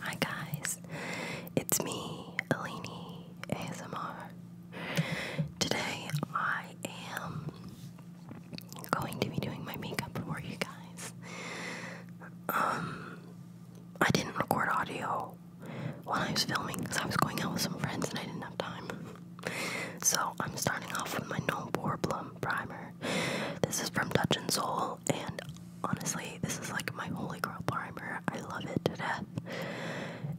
Hi guys, it's me, Alini ASMR. Today I am going to be doing my makeup for you guys. Um, I didn't record audio when I was filming because I was going out with some friends and I didn't have time. So I'm starting off with my No Problem Primer. This is from Touch and Soul and honestly, this is like my holy grail primer. I love it to death.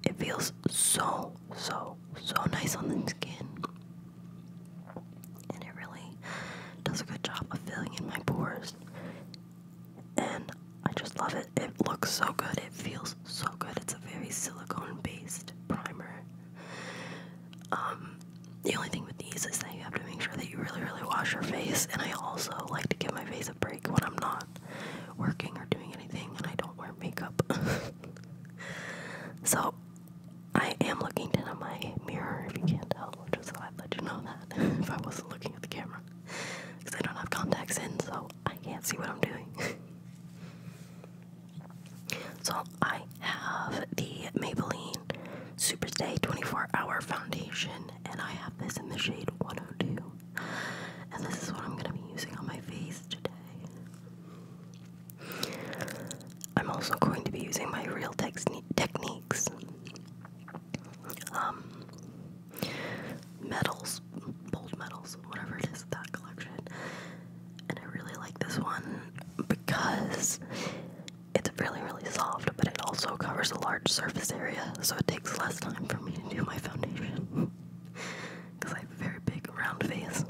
It feels so, so, so nice on the skin, and it really does a good job of filling in my pores. And I just love it. It looks so good. It feels so good. It's a very silicone based primer. Um, the only thing with these is that you have to make sure that you really, really wash your face. And I also like to give my face a break when I'm not working or doing anything and I don't wear makeup. so I am looking into my mirror if you can't tell, just so i let you know that if I wasn't looking at the camera. Because I don't have contacts in, so I can't see what I'm doing. so I have the Maybelline Super Stay 24 Hour Foundation, and I have this in the shade 102. And this is what I'm gonna be using on my face today. I'm also going to be using my Real Techniques um, metals, bold metals, whatever it is, that collection. And I really like this one because it's really, really soft, but it also covers a large surface area, so it takes less time for me to do my foundation. Because I have a very big, round face.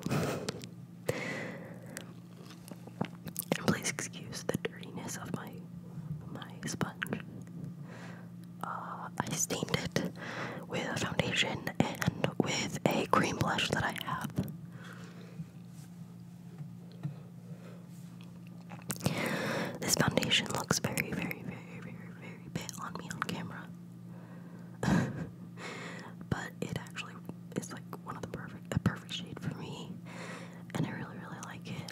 and please excuse the dirtiness of my my sponge. Uh, I stained it with foundation and with a cream blush that I have. This foundation looks very, very, very, very, very bad on me on camera. but it actually is like one of the perfect a perfect shade for me. And I really, really like it.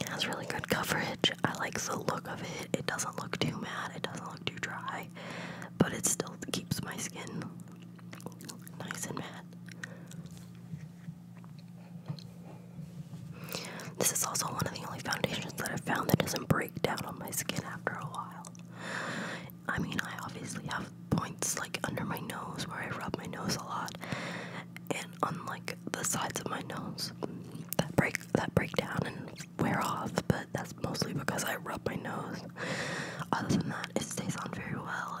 It has really good coverage. I like the look of it. It doesn't look too matte. It doesn't look too dry. But it still keeps my skin Nice and matte. This is also one of the only foundations that I've found that doesn't break down on my skin after a while. I mean, I obviously have points like under my nose where I rub my nose a lot, and on like the sides of my nose that break that break down and wear off. But that's mostly because I rub my nose. Other than that, it stays on very well,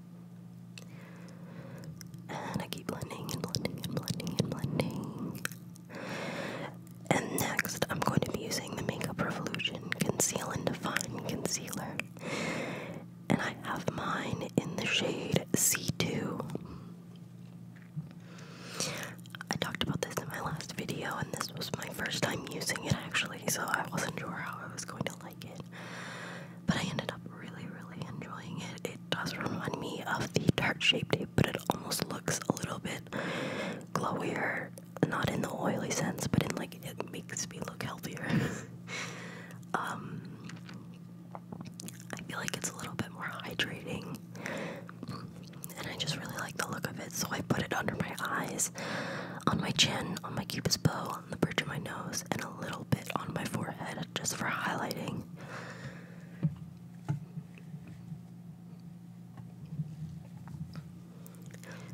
And I keep blending and blending and blending and blending. And next, I'm going to be using the Makeup Revolution Conceal and Define Concealer. And I have mine in the shade C2. I talked about this in my last video, and this was my first time using it actually, so I wasn't sure how I was going to like it. But I ended up really, really enjoying it. It does remind me of the tart shape tape, but it almost looks a little bit glowier. Not in the oily sense, but in like it makes me look healthier. Um, I feel like it's a little bit more hydrating, and I just really like the look of it. So I put it under my eyes, on my chin, on my cupid's bow, on the bridge of my nose, and a little bit on my forehead just for highlighting.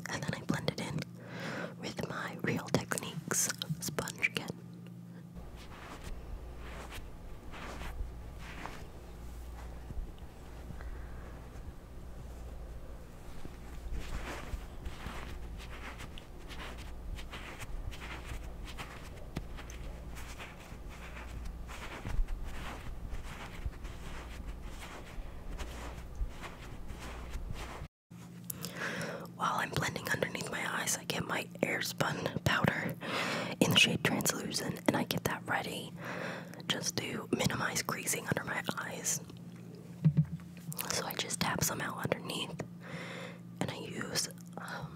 And then I blend it in with my Real Techniques sponge again. While I'm blending underneath my eyes, I get my air spun powder in the shade translucent and I get that ready just to minimize creasing under my eyes. So I just tap some out underneath and I use um,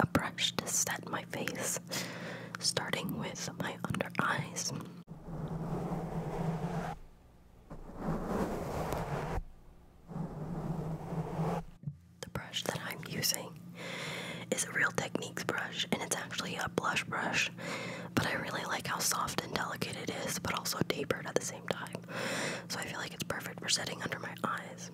a brush to set my face, starting with my under eyes. The brush that I'm using is a Real Techniques brush, and it's actually a blush brush, but I really like how soft and delicate it is, but also tapered at the same time. So I feel like it's perfect for setting under my eyes.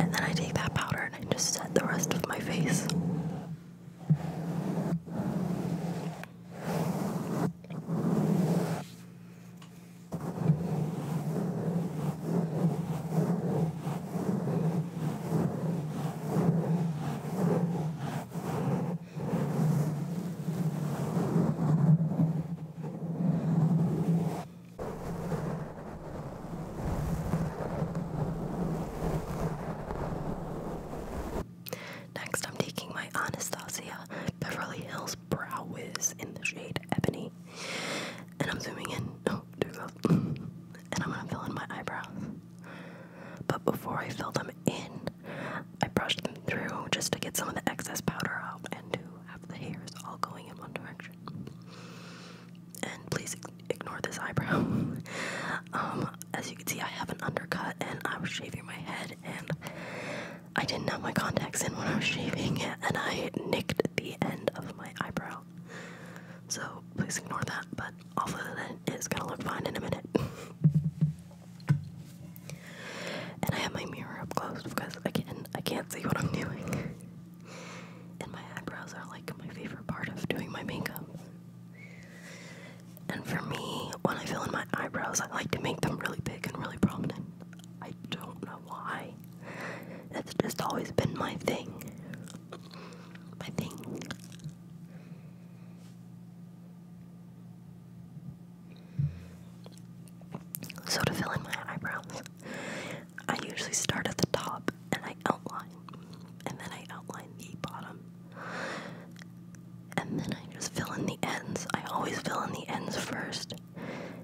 And then I take that powder and I just set the rest of my face. Next, I'm taking my Anastasia Beverly Hills Brow Wiz in the shade Ebony. And I'm zooming in. No, too close. And I'm gonna fill in my eyebrows. But before I fill them in, I brush them through just to get some of the excess powder out and to have the hairs all going in one direction. And please ignore this eyebrow. Um, as you can see, I have an undercut and I was shaving my head and I didn't have my contacts in when I was shaving and I nicked the end of my eyebrow So please ignore that, but all of it's gonna look fine in a minute. and I have my mirror up close because again I can't see what I'm doing. and my eyebrows are like my favorite part of doing my makeup. And for me, when I fill in my eyebrows, I like to make them really big and really prominent. I don't know why. That's just always been my thing. My thing. So to fill in my eyebrows, I usually start at the top and I outline, and then I outline the bottom, and then I just fill in the ends. I always fill in the ends first,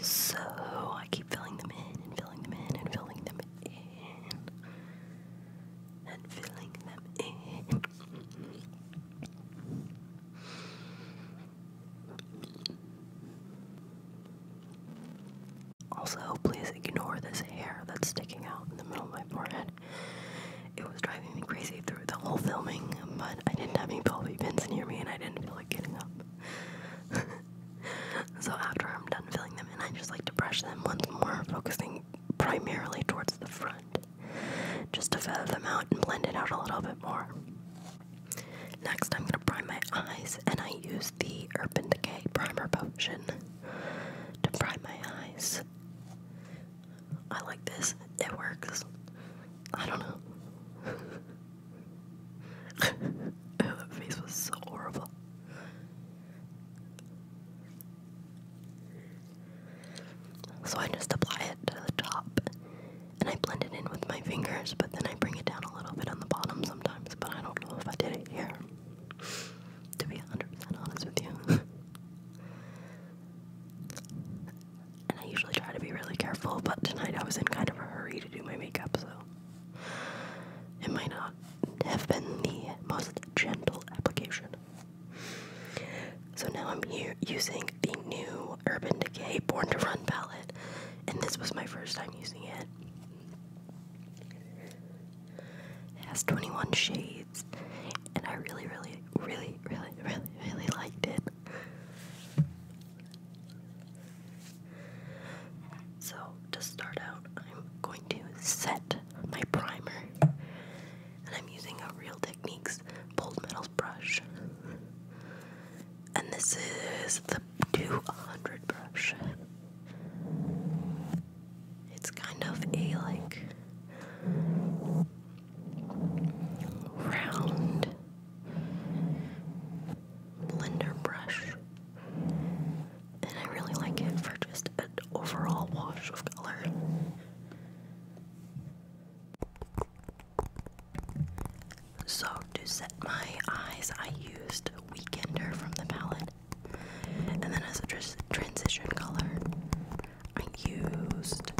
So I keep filling them in and filling them in and filling them in and filling them in. Also, please ignore this hair that's sticking out in the middle of my forehead. It was driving me crazy through the whole filming, but I didn't have any Velvet pins near me and I didn't feel like getting up. so after I'm done filling them in, I just like to brush them once more, focusing primarily towards the front, just to feather them out and blend it out a little bit more. Next, I'm gonna prime my eyes, and I use the Urban Decay Primer Potion to prime my eyes. I like this, it works. I don't know. that face was so horrible. So I just apply it to the top and I blend it in with my fingers, but then I bring it down a little bit on the bottom sometimes. But I don't know if I did it here, to be 100% honest with you. and I usually try to be really careful, but tonight I was in kind of a hurry to do my makeup, so it might not have been the most gentle application. So now I'm here using the new Urban Decay Born to Run palette, and this was my first time using it. It has 21 shades, and I really, really, really, really, really, really liked it. So, to start out, I'm going to set my primer. And I'm using a Real Techniques Bold Metals brush. And this is the 200 brush. It's kind of a like round blender brush. And I really like it for just an overall wash of color. So, to set my eyes, I used Weekender from the palette. And then, as a transition color, I used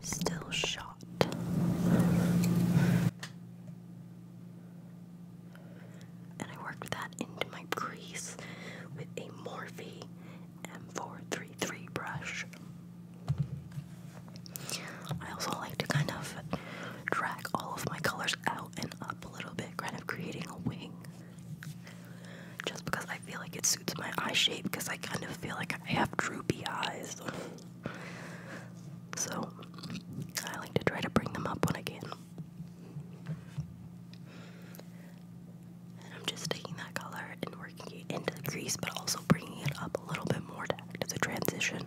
Still shot. And I worked that into my crease with a Morphe M433 brush. I also like to kind of drag all of my colors out and up a little bit, kind of creating a wing. Just because I feel like it suits my eye shape, because I kind of feel like I have droopy eyes. So I like to try to bring them up when I can. And I'm just taking that color and working it into the crease, but also bringing it up a little bit more to act as transition.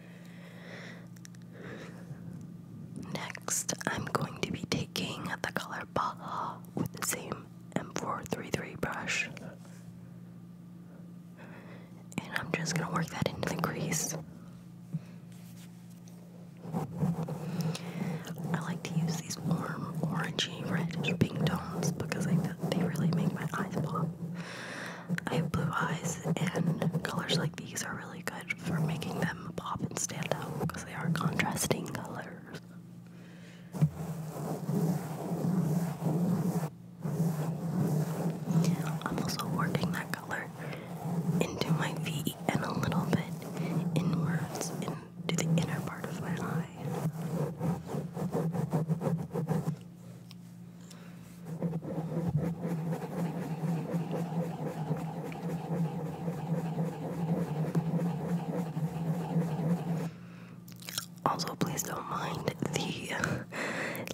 Next, I'm going to be taking the color Baja with the same M433 brush. And I'm just going to work that into the crease. I like to use these warm, orangey, reddish pink tones because I, they really make my eyes pop. I have blue eyes, and colors like these are really good for making them pop and stand out because they are contrasting colors. I'm also working that color into my V and a little bit inwards into the inner part of my eye. Also, please don't mind the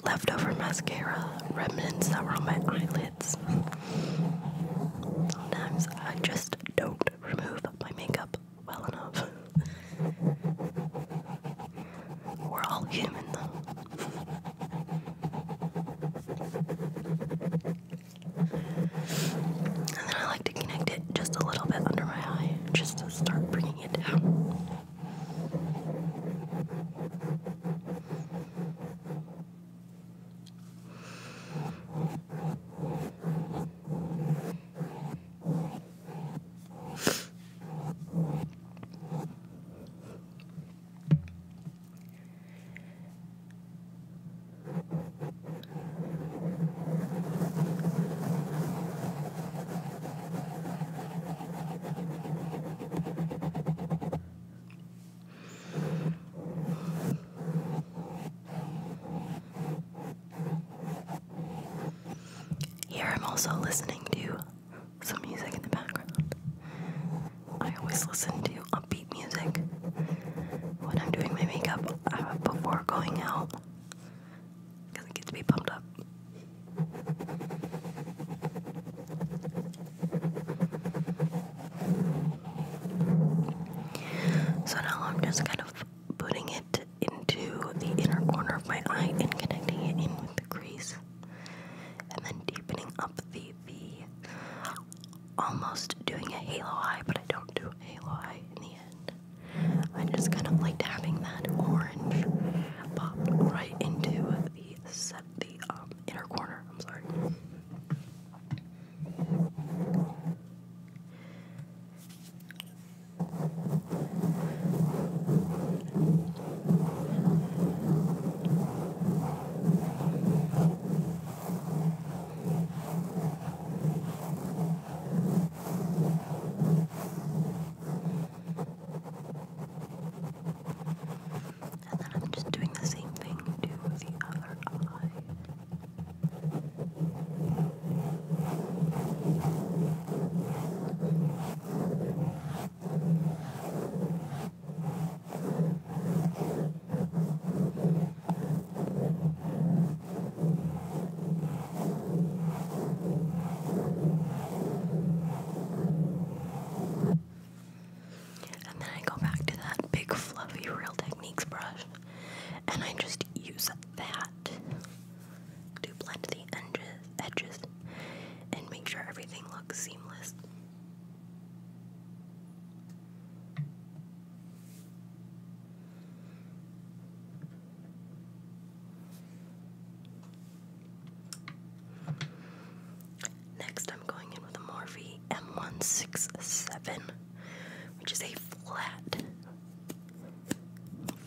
leftover mascara remnants that were on my eyelids. Sometimes I just don't remove my makeup well enough. We're all human, though. And then I like to connect it just a little bit under my eye, just to start bringing it down. Here I'm also listening to some music in the background. I always listen to upbeat music when I'm doing my makeup uh, before going out because it gets me pumped up. So now I'm just kind of putting it into the inner corner of my eye and connecting it in with the crease and then deepening up the V, almost doing a halo eye, but I don't do a halo eye in the end. I just kind of like dabbing that orange pop right into the the um, inner corner. I'm sorry. And then I'm just doing the same thing to the other eye. Okay. And then I go back to that big fluffy Real Techniques brush and I just use that to blend the edges edges and make sure everything looks seamless. Next, I'm going in with a Morphe M167, which is a flat,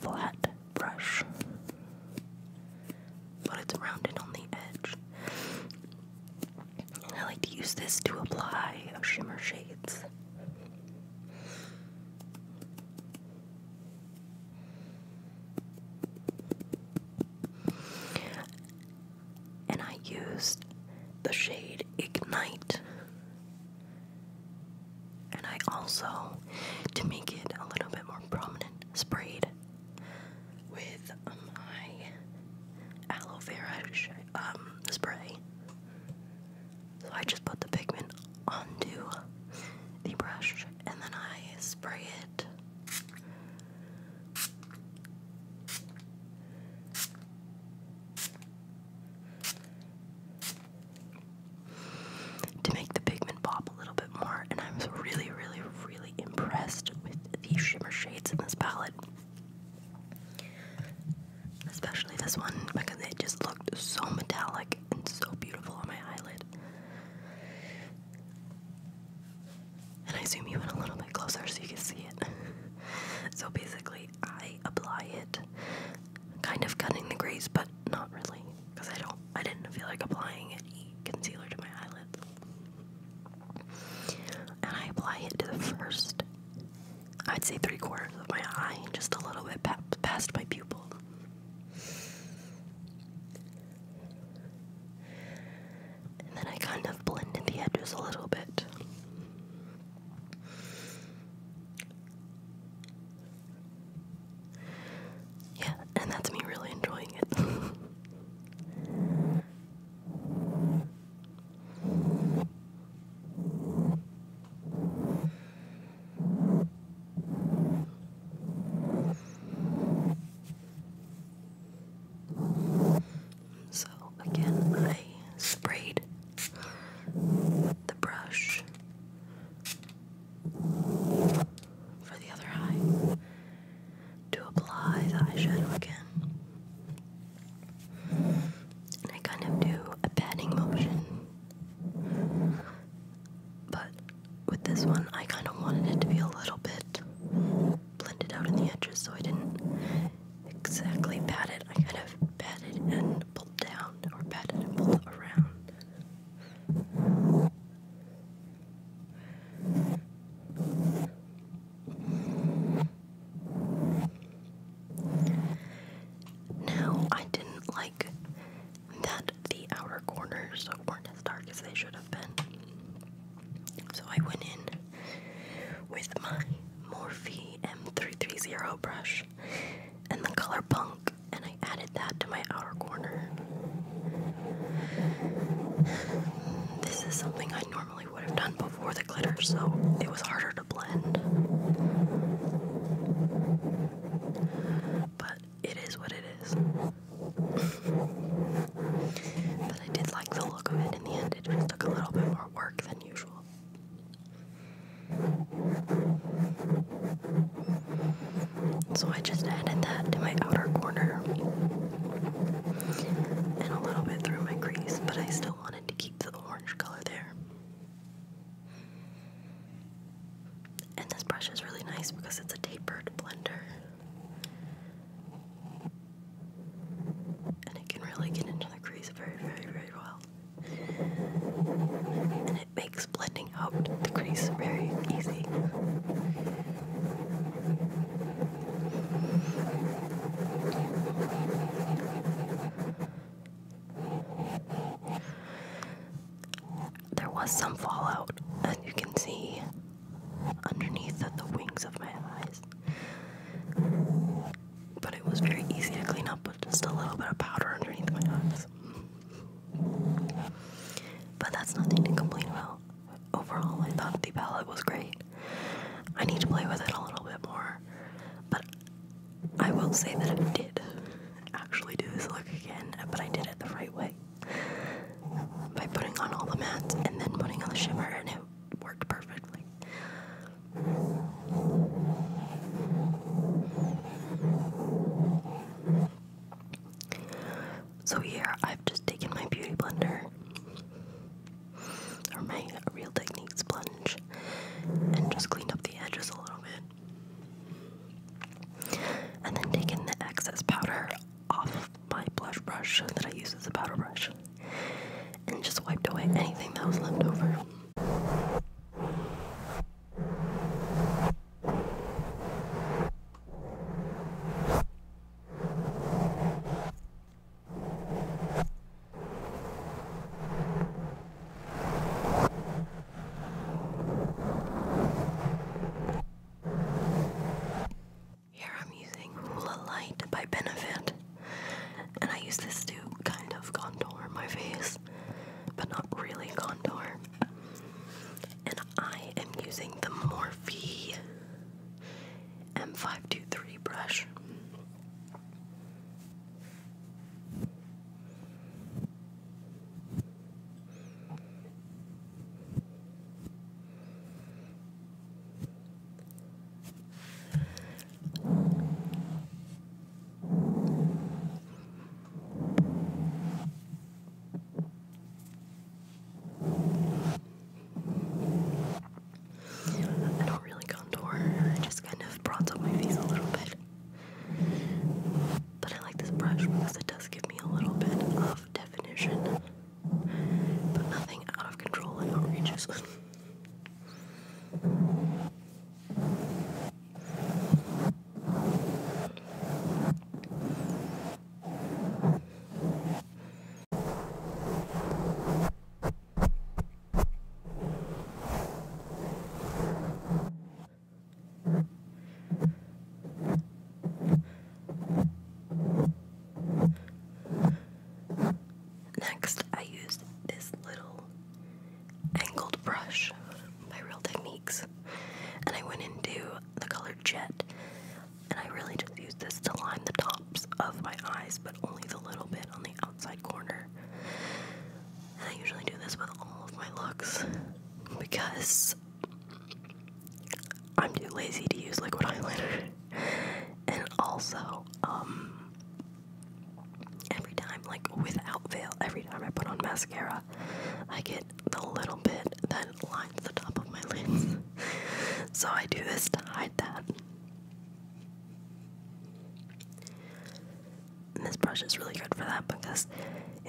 flat brush, but it's rounded on the edge. I like to use this to apply shimmer shades. And I used the shade Ignite. And I also, to make it a little bit more prominent, sprayed with my aloe vera um, spray. So I just put the pigment onto the brush and then I spray it. To make the pigment pop a little bit more, and I'm really, really, really impressed with the shimmer shades in this palette. Especially this one because it just looked so metallic and so beautiful on my eyelid. And I zoom you in a little bit closer so you can see it. so basically, I apply it kind of cutting the grease, but not really because I don't I didn't feel like applying any concealer to my eyelids. And I apply it to the first I'd say three quarters of my eye and just a little bit past my pupil. And then I kind of blended the edges a little bit. Yeah, and that's me really enjoying it. So again, I sprayed the brush for the other eye to apply the eyeshadow again. And I kind of do a patting motion. But with this one, I kind of wanted it to be a little bit blended out in the edges, so I didn't exactly pat it. I kind of patted and pulled down, or patted and pulled around. Now, I didn't like that the outer corners weren't as dark as they should have been. So I went in with my Morphe M330 brush and the color Punk, and I added that to my outer corner. This is something I normally would have done before the glitter, so it was harder to blend. But it is what it is. but I did like the look of it in the end. It just took a little bit more work than usual. So I just added that to my outer corner and a little bit through my crease, but I still wanted to keep the orange color there. And this brush is really nice because it's a tapered blender. And it can really get into the crease very, very, very well. And it makes blending taking out the crease very easy. There was some fallout, and you can see underneath the wings of my eyes. But it was very easy to clean up with just a little bit of powder underneath my eyes. But that's nothing to complain about. Overall, I thought the palette was great. I need to play with it a little bit more, but I will say that I did actually do this look again, but I did it the right way by putting on all the mattes and then putting on the shimmer, and it worked perfectly. So here I've just taken my beauty blender or my Real Technique sponge and just cleaned up the edges a little bit. And then taken the excess powder off my blush brush that I use as a powder brush and just wiped away anything that was left over. Here I'm using Hoola Light by Benefit, and I use this to kind of contour my face, but not really contour and I am using the Morphe M523 brush. I don't really contour, I just kind of bronze up my face a little bit. But I like this brush because it does give me a little bit of definition, but nothing out of control and outrageous. Next, I used this little angled brush by Real Technique. And I went into the color Jet, and I really just use this to line the tops of my eyes, but only the little bit on the outside corner. And I usually do this with all of my looks because I'm too lazy to use liquid eyeliner. And also, um, every time, like without veil, every time I put on mascara, I get the little bit that lines the top of my lids. so I do this to hide that. this brush is really good for that because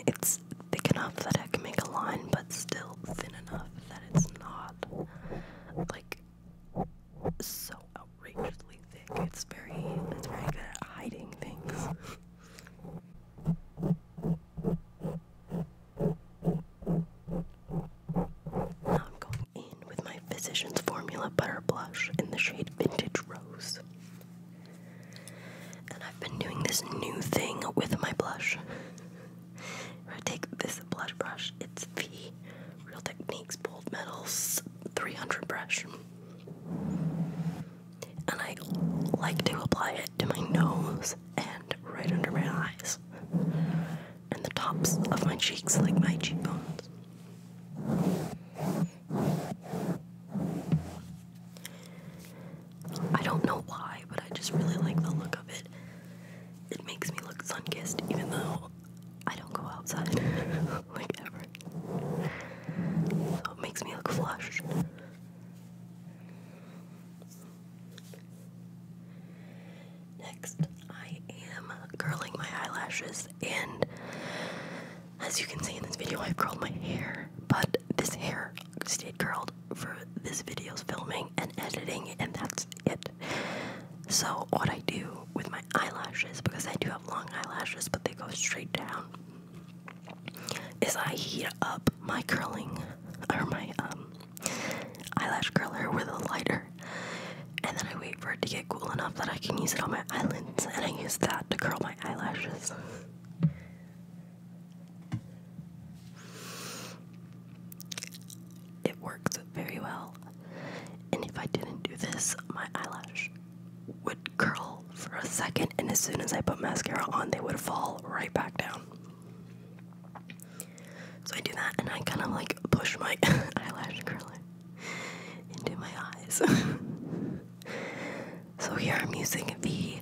it's thick enough that I can make a line, but still thin enough that it's not like so outrageously thick. It's very, it's very good at hiding things. Now I'm going in with my Physicians Formula Butter Blush in the shade Vintage Rose. And I've been doing this new thing with my blush. I take this blush brush, it's the Real Techniques Bold Metals 300 brush and I like to apply it to my nose and right under my eyes and the tops of my cheeks, like my cheekbones. I don't know why, but I just really like the look of it. It makes me look sun-kissed, even though I don't go outside like ever. So it makes me look flushed. Next, I am curling my eyelashes, and as you can see in this video, I've curled my hair, but this hair stayed curled for this video's filming and editing, and that's it. So, what I do with my eyelashes, because I do have long eyelashes, but they go straight down, is I heat up my curling or my um, eyelash curler with a lighter and then I wait for it to get cool enough that I can use it on my eyelids and I use that to curl my eyelashes. It works very well. And if I didn't do this, my eyelash would curl for a second, and as soon as I put mascara on, they would fall right back down. So I do that, and I kind of like push my eyelash curler into my eyes. so here I'm using the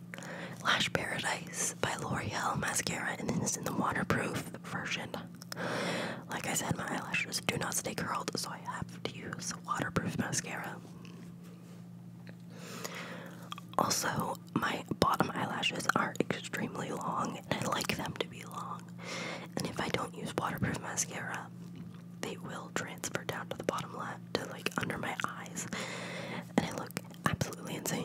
Lash Paradise by L'Oreal mascara, and then it's in the waterproof version. Like I said, my eyelashes do not stay curled, so I have to use waterproof mascara. Also, my bottom eyelashes are extremely long, and I like them to be long. And if I don't use waterproof mascara, they will transfer down to the bottom left, to like under my eyes, and I look absolutely insane.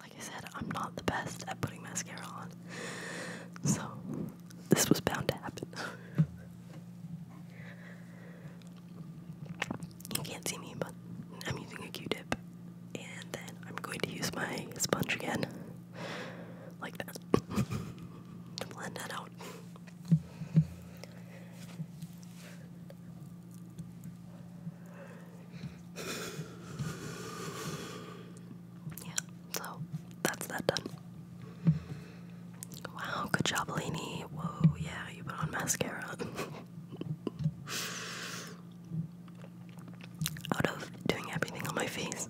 Like I said, I'm not the best at putting mascara on. So, this was bound to happen. you can't see me, but I'm using a q tip. And then I'm going to use my sponge again. Like that. to blend that out. Yeah, so that's that done. Wow, good job, Lainey. Whoa, yeah, you put on mascara. Out of doing everything on my face,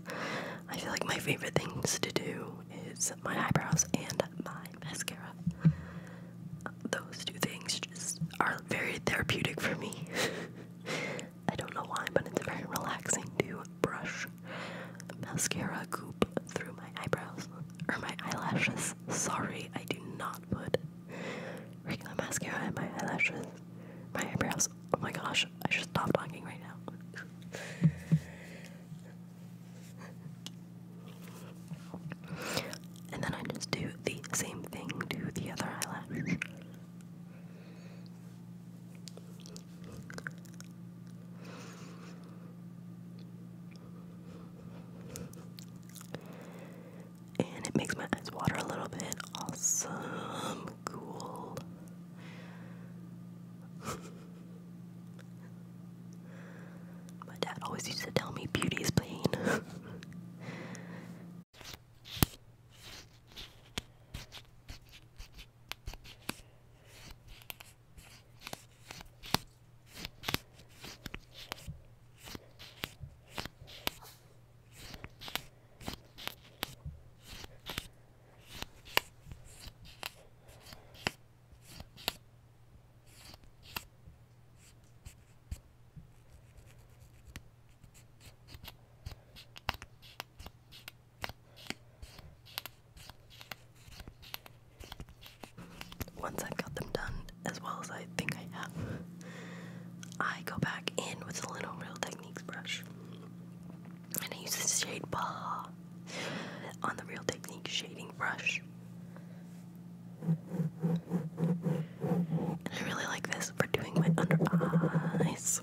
I feel like my favorite things to do is my eyebrows and my mascara. Those two things just are very therapeutic for me. I don't know why, but it's very relaxing to brush mascara goop through my eyebrows or my eyelashes. Sorry, I do not put regular mascara in my eyelashes, my eyebrows. Oh my gosh, I should stop talking right now. And then I just do the same thing to the other eyelash. And it makes my eyes water a little bit. Awesome. Cool. My dad always used to tell me beauty is pain. Once I've got them done as well as I think I have, I go back in with the Lino Real Techniques brush. And I use the shade Bah on the Real Techniques shading brush I really like this for doing my under eyes.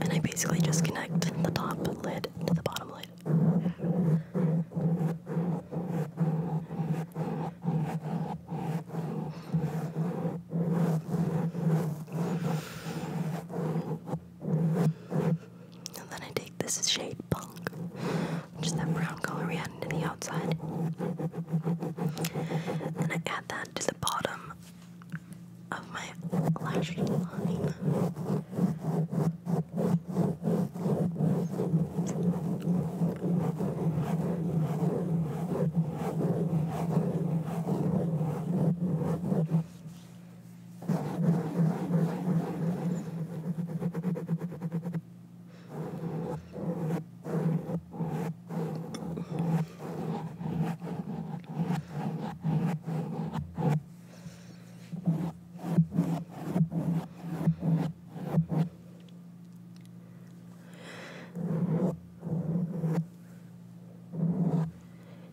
And I basically just connect the top lid to the bottom lid. And then I take this shade Punk, which is that brown color we added to the outside. And I add that to the bottom of my lash line.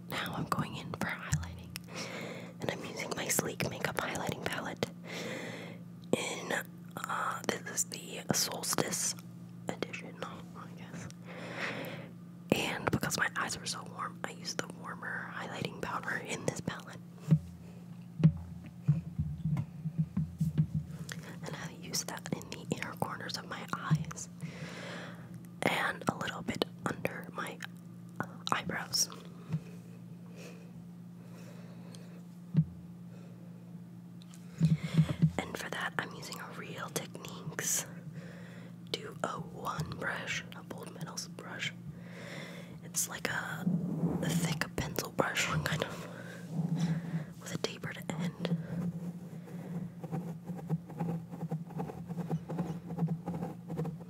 Now I'm going in for highlighting and I'm using my Sleek Makeup Highlighting Palette in, uh, this is the Solstice edition, I guess, and because my eyes were so warm, I used the warmer highlighting powder in this palette. And I use that in the inner corners of my eyes and a little bit under my uh, eyebrows. And for that, I'm using a Real Techniques 201 brush, a bold metals brush. It's like a, a thick pencil brush, kind of, with a tapered end.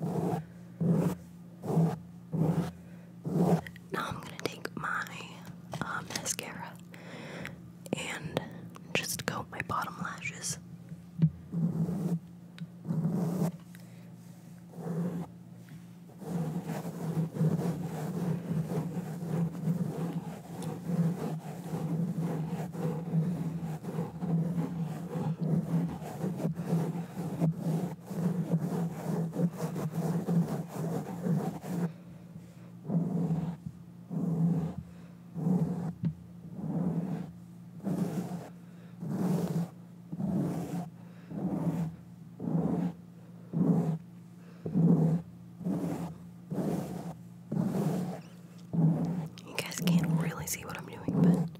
Now I'm gonna take my um, mascara and just coat my bottom lashes. You guys can't really see what I'm doing, but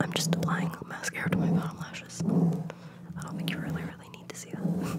I'm just applying mascara to my bottom lashes. I don't think you really, really need to see that.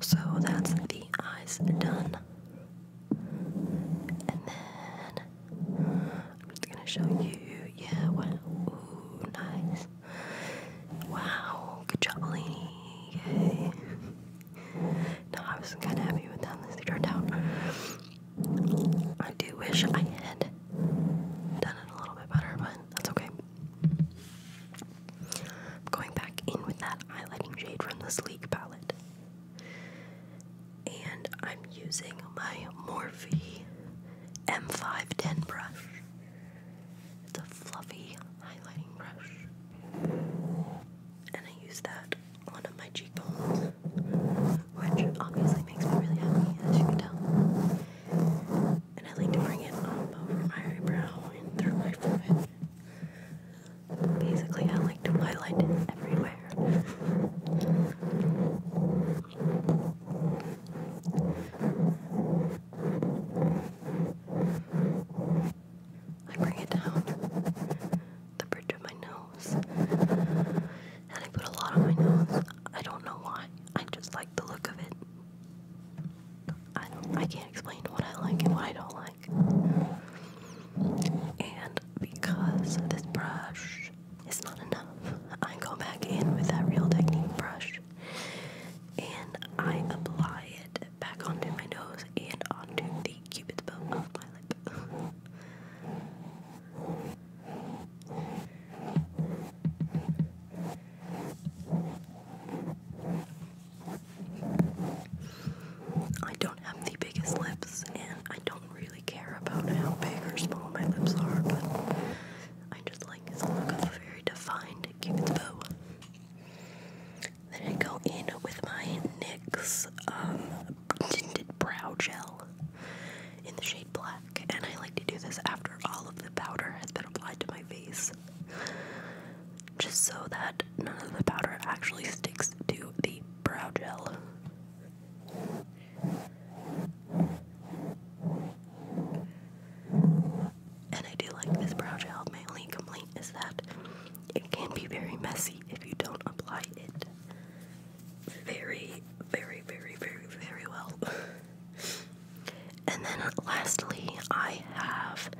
So that's the eyes done. And then I'm just gonna show you. Yeah, wow. Ooh, nice. Wow, good job, Lini. Yay. No, I was kind of happy with how this turned out. I do wish I had done it a little bit better, but that's okay. I'm going back in with that highlighting shade from the Sleek palette. And I'm using my Morphe M510 brush. It's a fluffy highlighting brush. And I use that on my cheekbones, which obviously makes me really happy, as you can tell and I like to bring it up over my eyebrow and through my forehead. Basically, I like to highlight it everywhere. I bring it down the bridge of my nose, and I put a lot on my nose. I don't know why. I just like the look of it. I I can't explain what I like and what I don't like. And because this brush is not enough, I go back in with that Real Technique brush and I apply it back onto my nose and onto the cupid's bow of my lip. I don't have the biggest lips, and I don't really care about how big or small my lips are, but I just like the look of a very defined cupid's bow. Then I go in with my NYX um, tinted brow gel in the shade black and I like to do this after all of the powder has been applied to my face. Just so that none of the powder actually sticks to the brow gel. And I do like this brow gel. My only complaint is that it can be very messy if you don't apply it very, very, very, very, very well. And then lastly, I have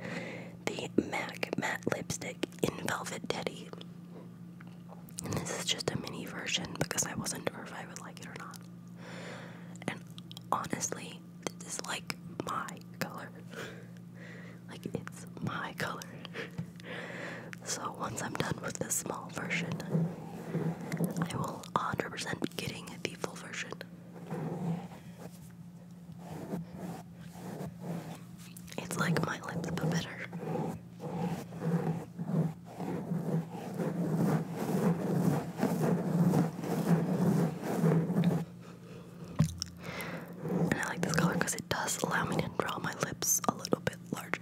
the MAC Matte Lipstick in Velvet Teddy. this is just a mini version because I wasn't sure if I would like it or not. And honestly, this is like my color. like, it's my color. so once I'm done with this small version, I will 100% be getting the full version. It's like my lips, but better. And I like this color because it does allow me to draw my lips a little bit larger.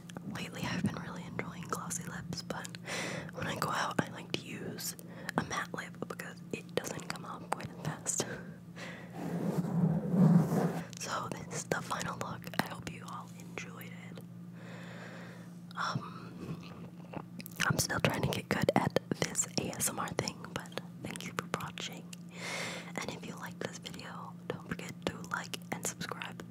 lately I've been really enjoying glossy lips, but when I go out, I like to use a matte lip because it doesn't come off quite as fast. so, this is the final look. I hope you all enjoyed it. Um, I'm still trying to get good at this ASMR thing, but thank you for watching. And if you like this video, don't forget to like and subscribe.